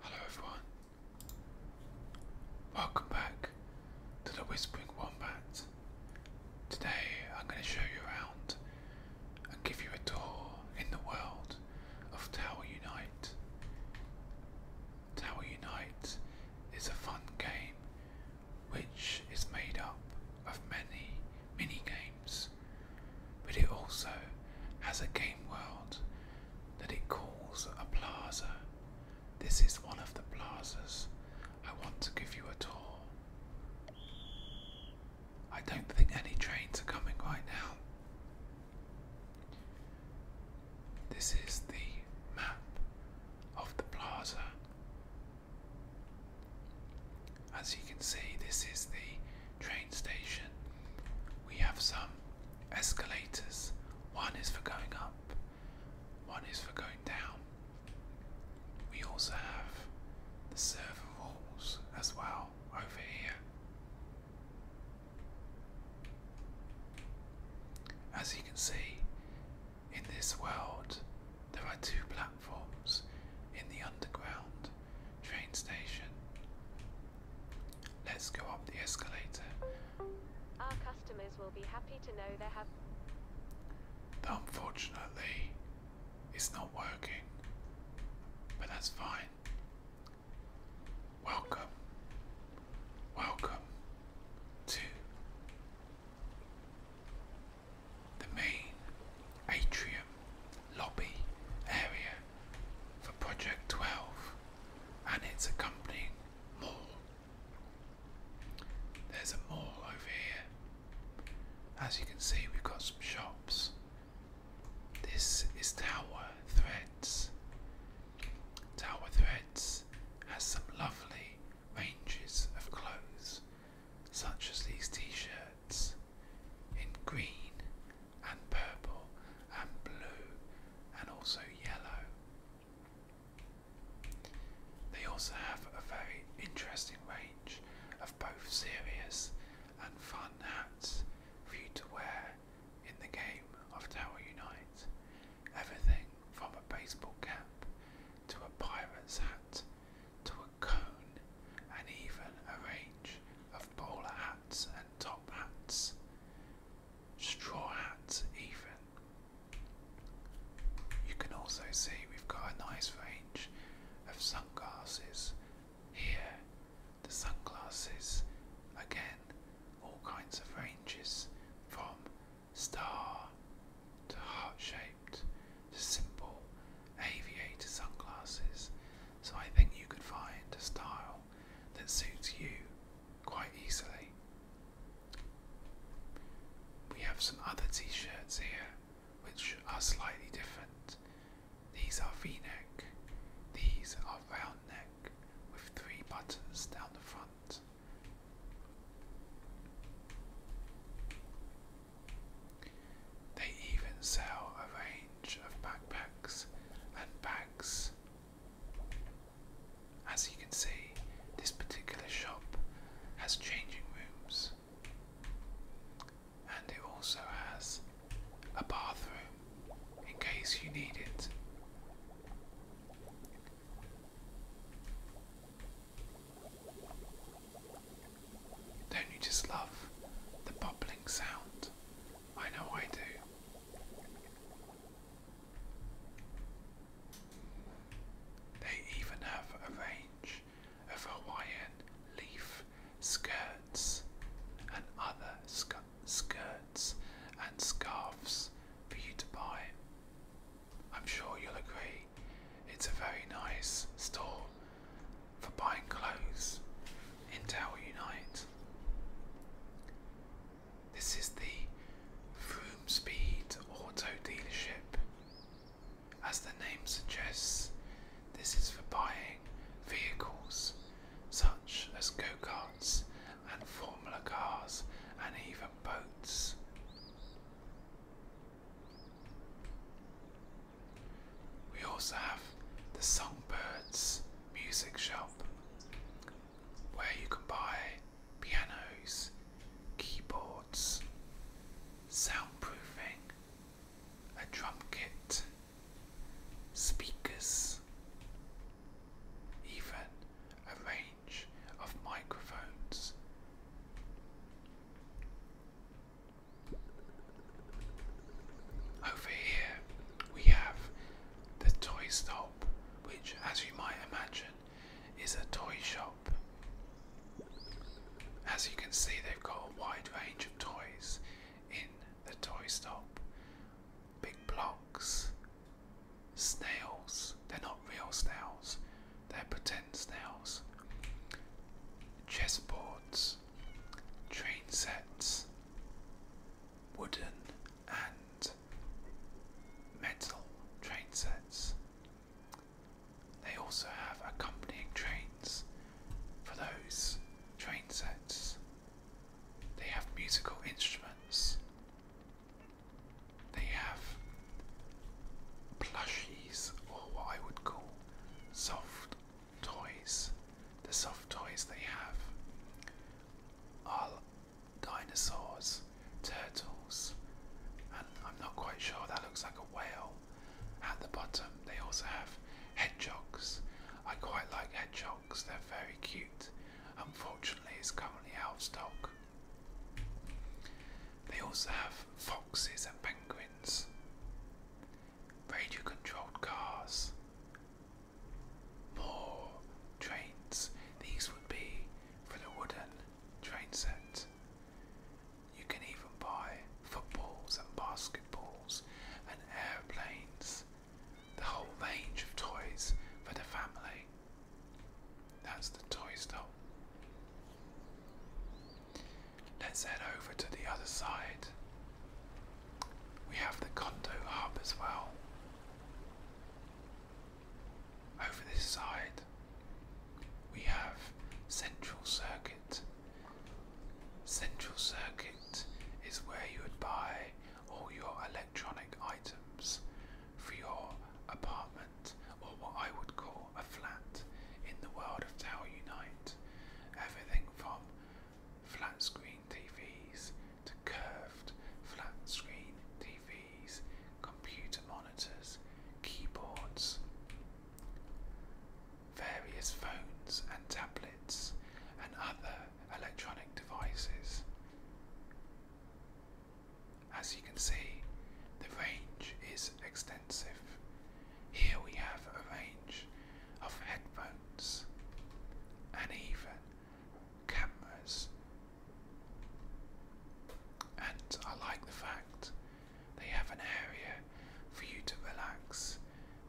Hello everyone. Welcome back to the Whispering Wombat. Today I'm going to show you around and give you a tour in the world of Tower Unite. Tower Unite is a fun game which is made up of many mini games but it also has a game world that it calls a plaza. This is one of the plazas. I want to give you a tour. I don't think any trains are coming right now. This is the map of the plaza. As you can see, this is the train station. We have some escalators. One is for going up, one is for going down. We also have the server walls as well over here. As you can see, in this world, there are two platforms in the underground Train station. Let's go up the escalator. Our customers will be happy to know they have. unfortunately, it's not working. But that's fine. Welcome. Welcome to the main atrium lobby area for Project 12 and its accompanying mall. There's a mall over here. As you can see, we've got some shops. This is Tower Threads. Tower Threads has some lovely ranges of clothes, such as these t shirts in green and purple and blue and also yellow. They also have a very interesting range of both serious and fun hats for you to wear in the game of Tower Unite. Everything from a baseball cap to a pirate's hat to a cone and even a range of bowler hats and top hats, straw hats, even. You can also see we've got a nice range of sunglasses here. The sunglasses, again, all kinds of ranges from star to heart shaped to simple aviator sunglasses so I think you could find a style that suits you quite easily. We have some other t shirts here which are slightly different. These are v neck, these are round neck with three buttons down the front. They even sell a range of backpacks and bags. As you can see, this particular shop has changing rooms and it also has a bathroom in case you need it. Don't you just love the bubbling sound I know I do. They even have a range of Hawaiian leaf skirts and other skirts and scarves for you to buy. I'm sure you'll agree, it's a very nice store for buying clothes in Tower Unite. This is the Vroom Speed Auto Dealership. As the name suggests, this is for buying vehicles such as go karts and Formula cars and even boats. We also have the Songbirds Music Shop, where you can buy pianos, keyboards, soundproofing, a drum kit, speakers, even a range of microphones. Over here we have the toy stop, which, as you might imagine, is a toy shop. As you can see, they've got a wide range of toys in the toy stop. Big blocks, snails, they're not real snails, they're pretend snails, chessboards, train sets, wooden and metal train sets. They also have accompanying trains for those train sets. They have musical instruments. They have plushies, or what I would call soft toys, the soft toys they have, are dinosaurs, turtles, and I'm not quite sure that looks like a whale. At the bottom, they also have hedgehogs. I quite like hedgehogs, they're very cute. Unfortunately, it's currently out of stock. They also have foxes and penguins radio controlled cars, more trains. These would be for the wooden train set. You can even buy footballs and basketballs and airplanes, the whole range of toys for the family. That's the toy store. Let's head over to the other side. We have the condo Hub as well. Over this side, we have Central Circuit. Central Circuit is where you would buy all your electronic items for your apartment or what I would call a flat in the world of Tower Unite. Everything from flat screen TVs to curved flat screen TVs, computer monitors, keyboards, various phones and tablets, and other electronic devices. As you can see, the range is extensive here we have a range of headphones and even cameras. And I like the fact they have an area for you to relax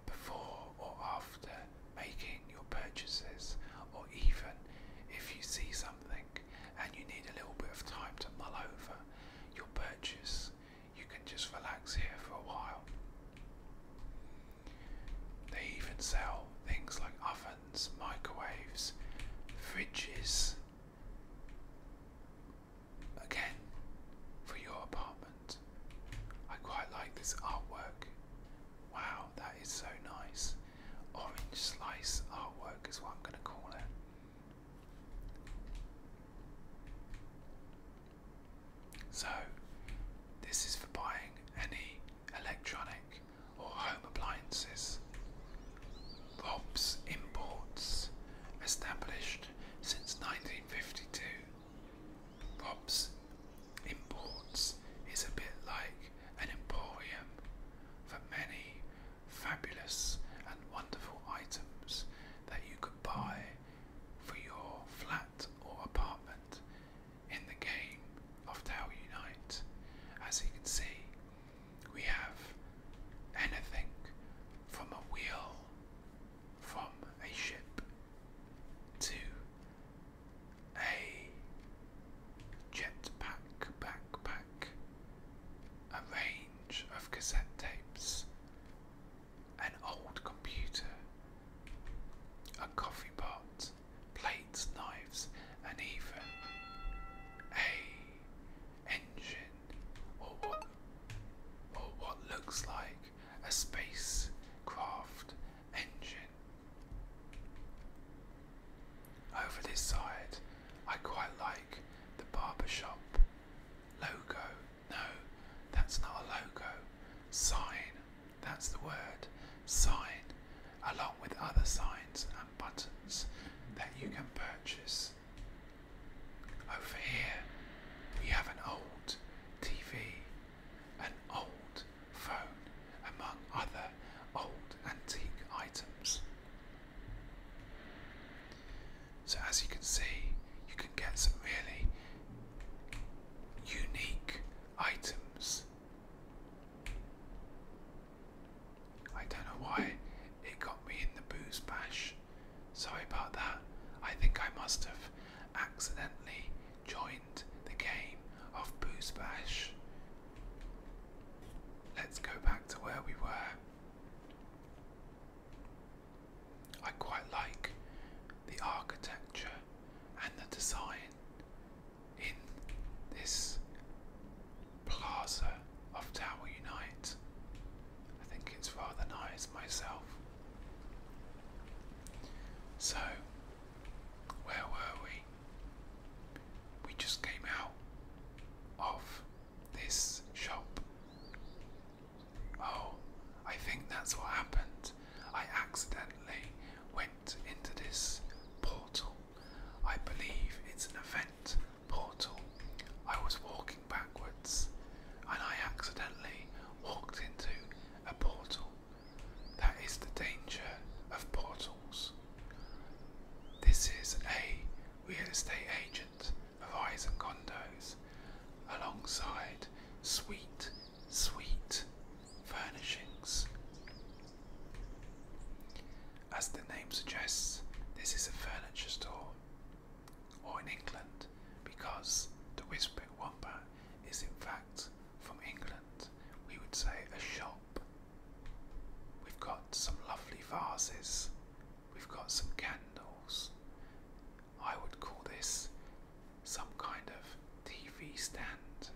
before or after making your purchases, or even if you see something and you need a little bit of time to mull over your purchase, you can just relax here for a while. They even sell things like ovens, microwaves, fridges. Again, for your apartment. I quite like this artwork. Wow, that is so nice. Orange slice artwork is what I'm going to call it. So, this is for buying any electronic or home appliances. Rob's Imports, established since 1952. Rob's Imports is a bit like an emporium for many fabulous and wonderful items that you could buy for your flat or apartment in the game of Tower Unite. As you can see, we have anything from a wheel, from a ship, to a jetpack backpack, a range of cassette tapes, an old computer, a coffee pot, plates, knives, and even a engine or what or what looks like a spacecraft engine. Over this side, I quite like the barber shop logo no, that's not a logo. Sign, that's the word. Sign, along with other signs and buttons that you can purchase. Over here, we have an old TV, an old phone, among other old antique items. So as you can see, you can get some really unique items. I don't know why it got me in the booze bash. Sorry about that. I think I must have accidentally joined the game of booze bash. Let's go back to where we were. I quite like the architecture and the design in this plaza of Tower Unite. I think it's rather nice myself. So, where were we? We just came out of this shop Oh, I think that's what happened. I accidentally went into this portal. I believe it's an event portal. I was walking backwards and I accidentally walked into a portal. That is the danger of portals. This is a real estate agent of eyes and Condos, alongside sweet, sweet furnishings. As the name suggests, this is a furniture store, or in England, because the Whispering Wombat is in fact from England. We would say a shop. We've got some lovely vases We've got some candles. I would call this some kind of TV stand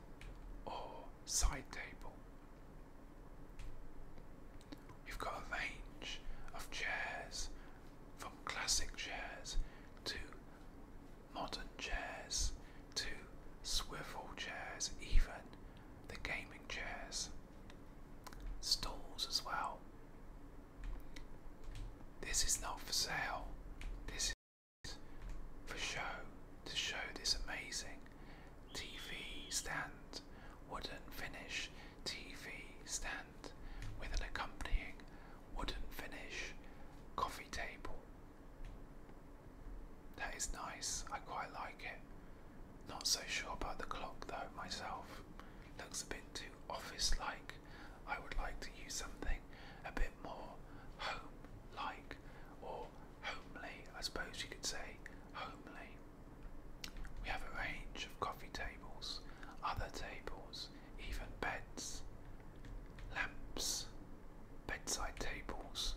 or side table. We've got a range of chairs from classic chairs to modern chairs to swivel chairs, even the gaming chairs, Stools as well. This is not for sale. This is for show to show this amazing TV stand, wooden finish TV stand with an accompanying wooden finish coffee table. That is nice. I quite like it. Not so sure about the clock though myself. Looks a bit too office like. I would like to use something a bit more home like or homely, I suppose you could say homely. We have a range of coffee tables, other tables, even beds, lamps, bedside tables.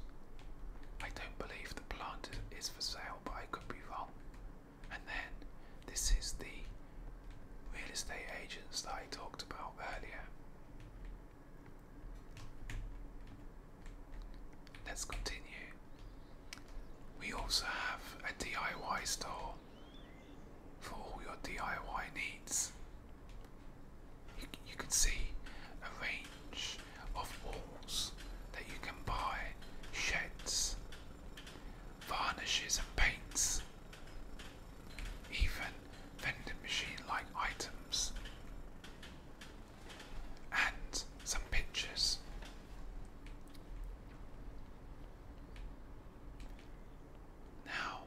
I don't believe the plant is for sale, but I could be wrong. And then this is the real estate agents that I talked about earlier. Let's continue. We also have a DIY store for all your DIY needs. You, you can see a range of walls that you can buy, sheds, varnishes and paints, even vending machine like items, and some pictures. Now,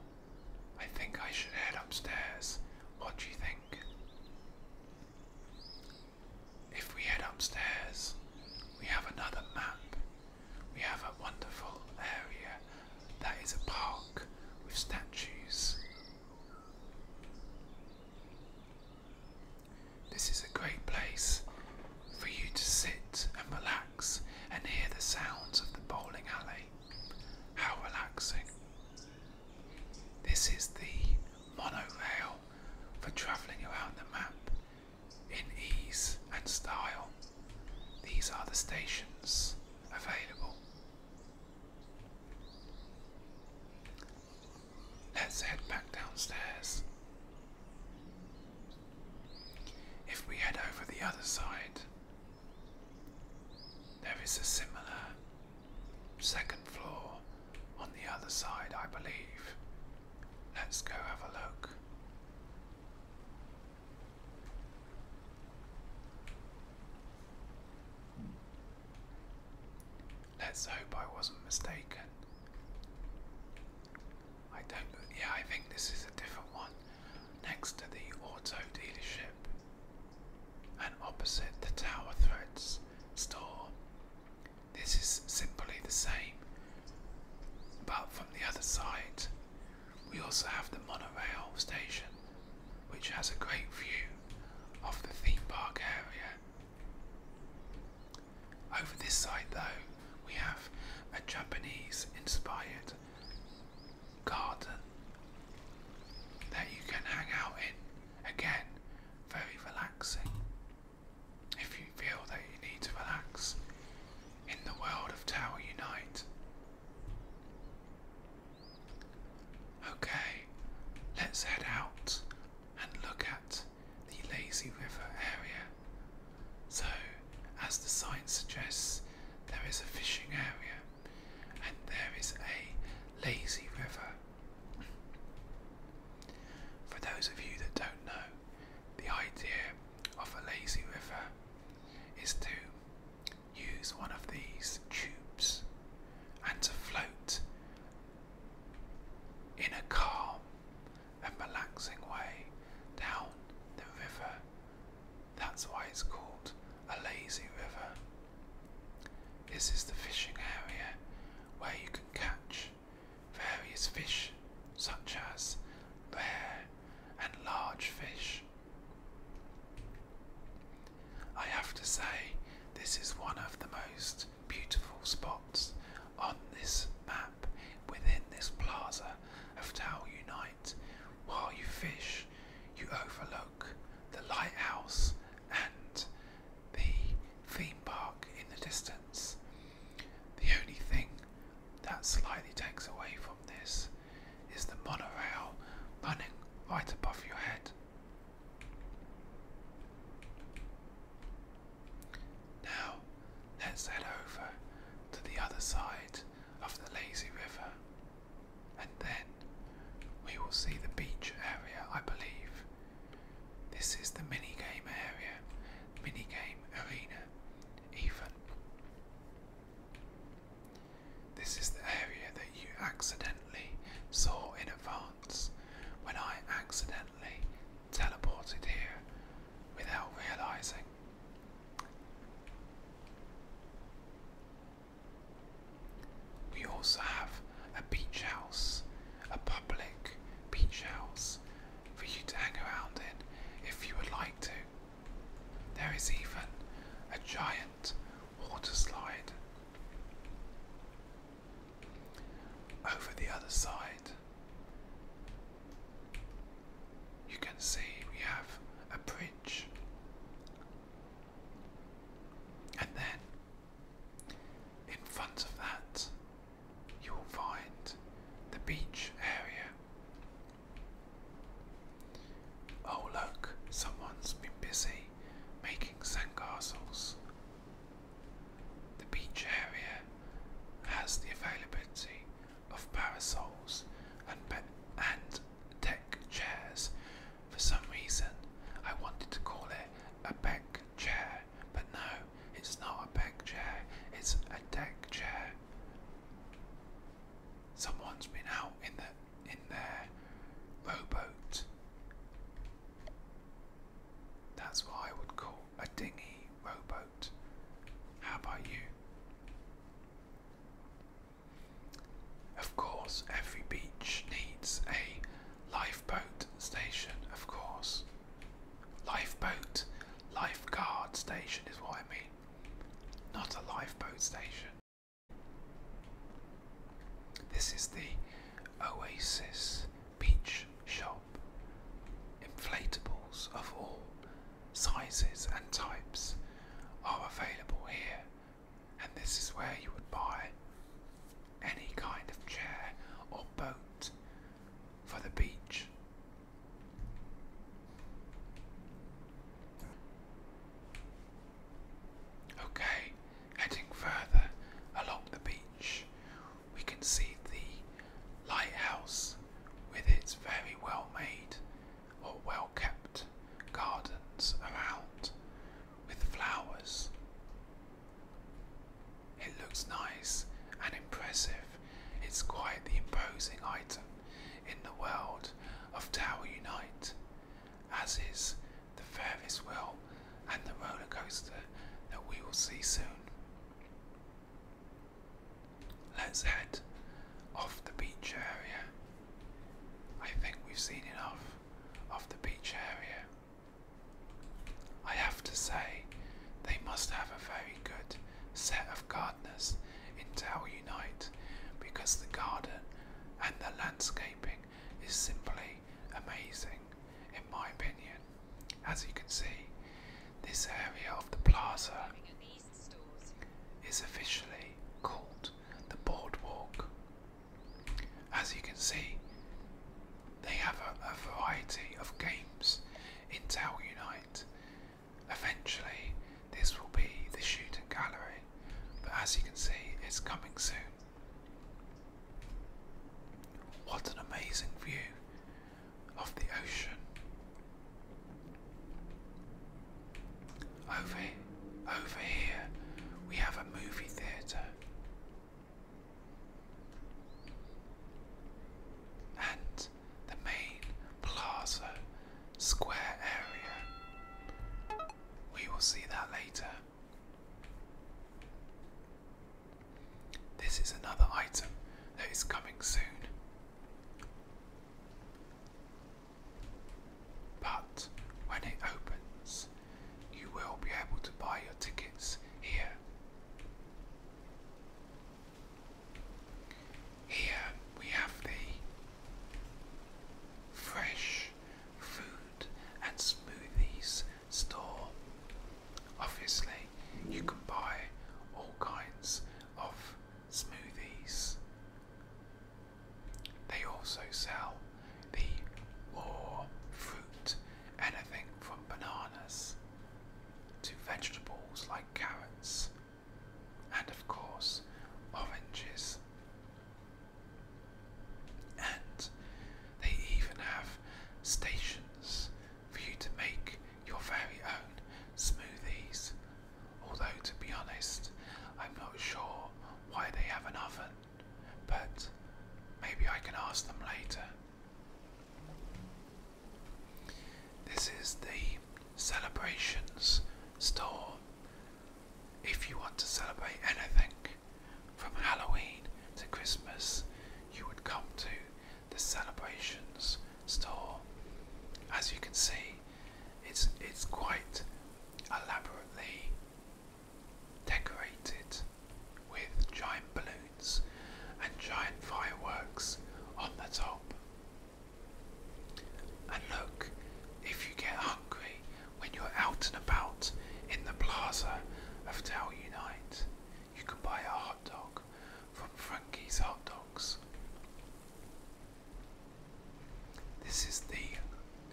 I think I should head upstairs. What do you think? If we head upstairs, we have another map we have a wonderful area that is a park with statues. This is a great place for you to sit and relax and hear the sounds of the bowling alley. How relaxing! This is the monorail for travelling around the map in ease and style. These are the stations available. Let's head back downstairs. If we head over the other side, there is a similar second floor on the other side, I believe, Let's go have a look. Let's hope I wasn't mistaken. I don't. Yeah, I think this is a different one. Next to the auto dealership and opposite the Tower Threads store this is simply the same, but from the other side, we also have the monorail station, which has a great view of the theme park area. Over this side, though, we have a Japanese inspired garden that you can hang out in. Again, very relaxing. If you feel that you need to relax in the world of Tower Unite. Okay, let's head out and look at the Lazy River area. So, as the sign suggests, there is a fishing area and there is a lazy river. For those of you that don't know, the idea of a lazy river is to use one of these tubes and to float in a calm and relaxing way down the river. That's why it's called a lazy river. This is the fishing area where you can catch various fish such as rare and large fish. I have to say, this is one of the most beautiful spots on this map within this plaza of Tau Unite. While you fish, you overlook the lighthouse and the theme park in the distance. The only thing that slightly takes away from this is the monorail running right above your head. Now, let's head over to the other side of the lazy river, and then we will see the beach area, I believe. This is the mini game area. Mini game arena, even. This is the area that you accidentally saw in advance when I accidentally teleported here without realizing. We also have a beach house, a public beach house for you to hang around in if you would like to. There is even a giant water slide. Over the other side, you can see we have a bridge, and then in front of that you will find the beach area. Oh, look, someone's been busy making sandcastles. The beach area has the availability of parasols and, deck chairs. For some reason, I wanted to call it a back chair, but no, it's not a big chair, it's a deck chair. Someone's been out in the in their rowboat. That's what I would call a dinghy rowboat. How about you? Of course, every beach needs a lifeboat station, of course. Lifeboat, lifeguard station is what I mean. Not a lifeboat station. This is the Oasis Beach Shop. Inflatables of all sizes and types are available here, and this is where you would buy any kind of chair or boat for the beach. Okay, heading further along the beach, we can see the lighthouse with its very well made or well kept gardens around with flowers it looks nice and impressive. It's quite the imposing item in the world of Tower Unite, as is the Ferris wheel and the roller coaster that we will see soon. Let's head off the beach area. I think we've seen enough of the beach area. I have to say, they must have a very good set of gardeners in Tell Unite because the garden and the landscaping is simply amazing, in my opinion. As you can see, this area of the plaza is officially called the Boardwalk. As you can see, they have a, variety of games in Tel Unite. Eventually, this will be the shooting gallery, but as you can see, it's coming soon. What an amazing view of the ocean. Over, over here, we have a movie theatre and the main plaza square area. We will see that later. This is another item that is coming soon. But when it opens, you will be able to buy your tickets here. Here we have the fresh food and smoothies store. Obviously, you can buy all kinds of smoothies. They also sell the raw fruit, anything from bananas to vegetables like carrots and, of course, oranges. And they even have stations for you to make your very own smoothies. Although, to be honest, I'm not sure why they have an oven, but maybe I can ask them later. This is the celebrations store. If you want to celebrate anything from Halloween to Christmas, you would come to the celebrations store. As you can see, it's it's quite elaborately decorated with giant balloons and giant fireworks on the top. And look, if you get hungry when you're out and about in the plaza of Dell Unite, you can buy a hot dog from Frankie's Hot Dogs. This is the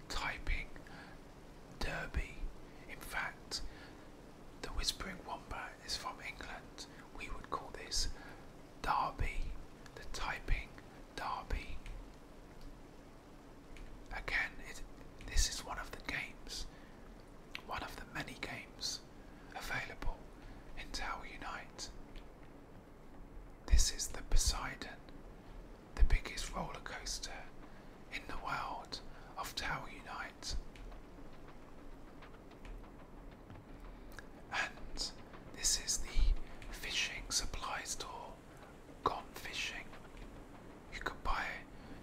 typing derby. In fact, the Whispering Wombat is from England. We would call this Derby, the typing Derby. Again, this is one of the games, one of the many games available in Tower Unite. This is the Poseidon, the biggest roller coaster in the world of Tower Unite. And this is the fishing supply store, Gone Fishing. You can buy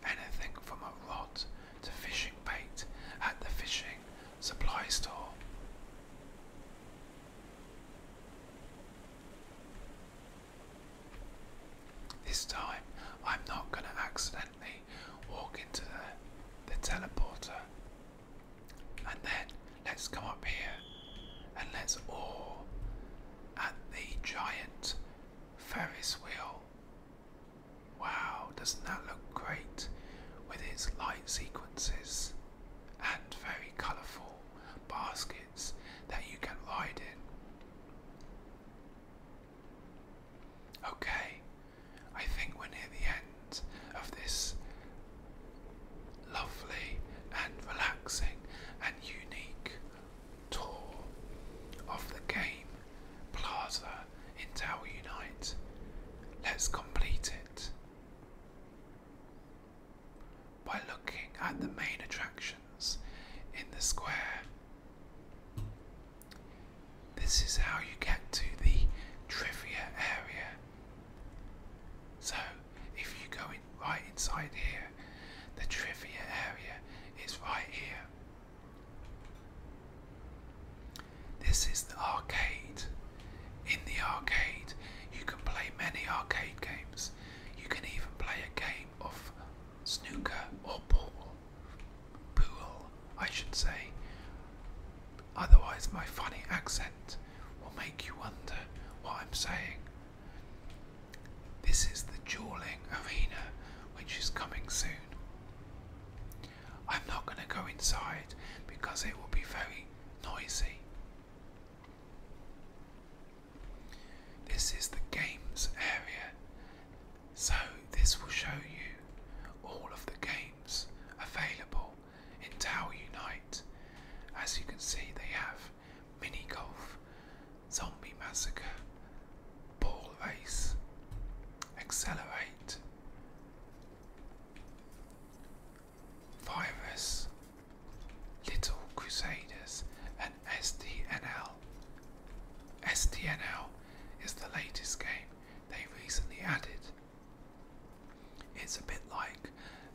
anything from a rod to fishing bait at the fishing supply store. This time I'm not going to accidentally walk into the, the teleporter. And then let's come up here and let's all at the giant Ferris wheel. Wow, doesn't that look great with its light sequences and very colourful baskets that you can ride in? Okay, I think we're near the end of this lovely and relaxing and unique tour of the game plaza in Tower Unite. Let's complete it by looking at the main attractions in the square this is how you get to the trivia area. So, if you go in right inside here, the trivia area is right here. This is the arcade. In the arcade, you can play many arcade games. You can even play a game of snooker or pool pool, I should say. Otherwise, my funny accent will make you wonder what I'm saying. This is the Jawling Arena, which is coming soon. I'm not going to go inside because it will be very noisy. This is the games area. So, this will show you all of the games available in Tower Unite. As you can see, they have mini golf, zombie massacre, ball race, accelerate, virus, little crusaders, and SDNL. STNL is the latest game they recently added. It's a bit like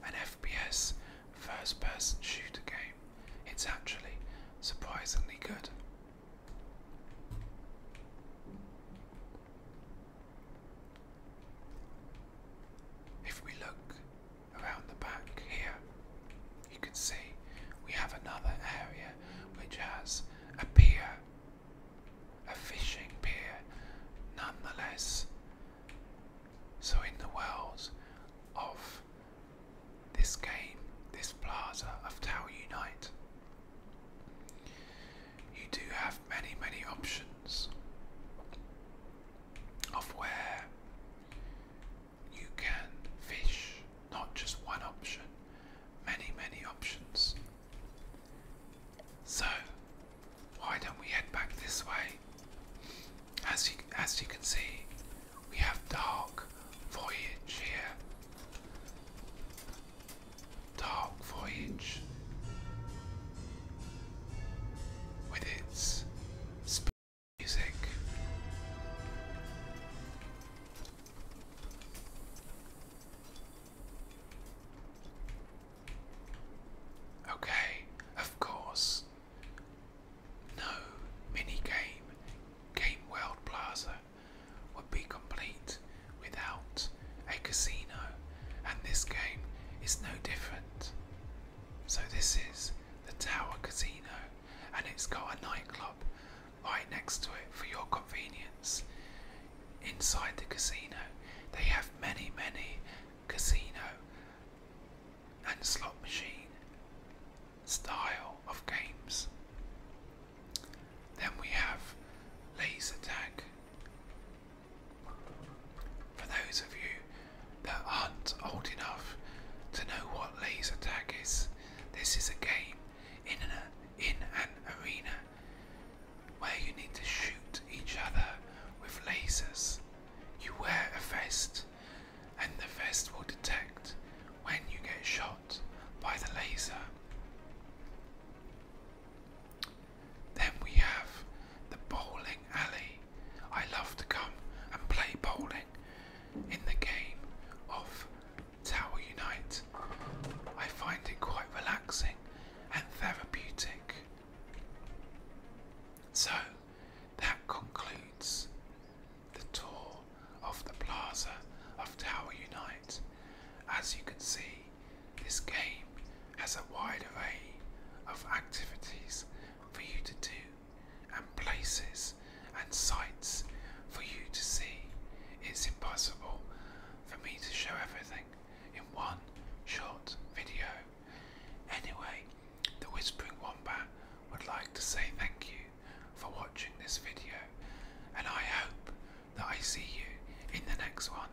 an FPS first person shooter game. It's actually surprisingly good. If we look around the back here, you can see we have another area which has a pier, a fishing pier nonetheless. So, in the world of this game, this plaza of Tower Unite, you do have many, many options of where you can fish not just one option, many, many options. So, why don't we head back this way? As you, as you can see, we have Dark Voyage here. Dark Voyage with its music. Okay, of course. No minigame Game World Plaza would be complete without a casino, and this game is no different. So, this is the Tower Casino, and it's got a nightclub right next to it for your convenience. Inside the casino, they have many, many casino and slot machine style of games. Then we have laser tag. For those of you that aren't old enough to know what laser tag is, this is a game in an, in an arena where you need to shoot each other with lasers. You wear a vest, and the vest will detect when you get shot by the laser. Then we have the bowling alley. I love to come and play bowling in the game of Tower Unite. I find it quite relaxing and therapeutic. So that concludes the tour of the plaza of Tower Unite. As you can see, this game has a wide array of activities for you to do and places and sights for you to see. It's impossible for me to show everything in one short video. Anyway, the Whispering Wombat would like to say thank you for watching this video and I hope that I see you in the next one.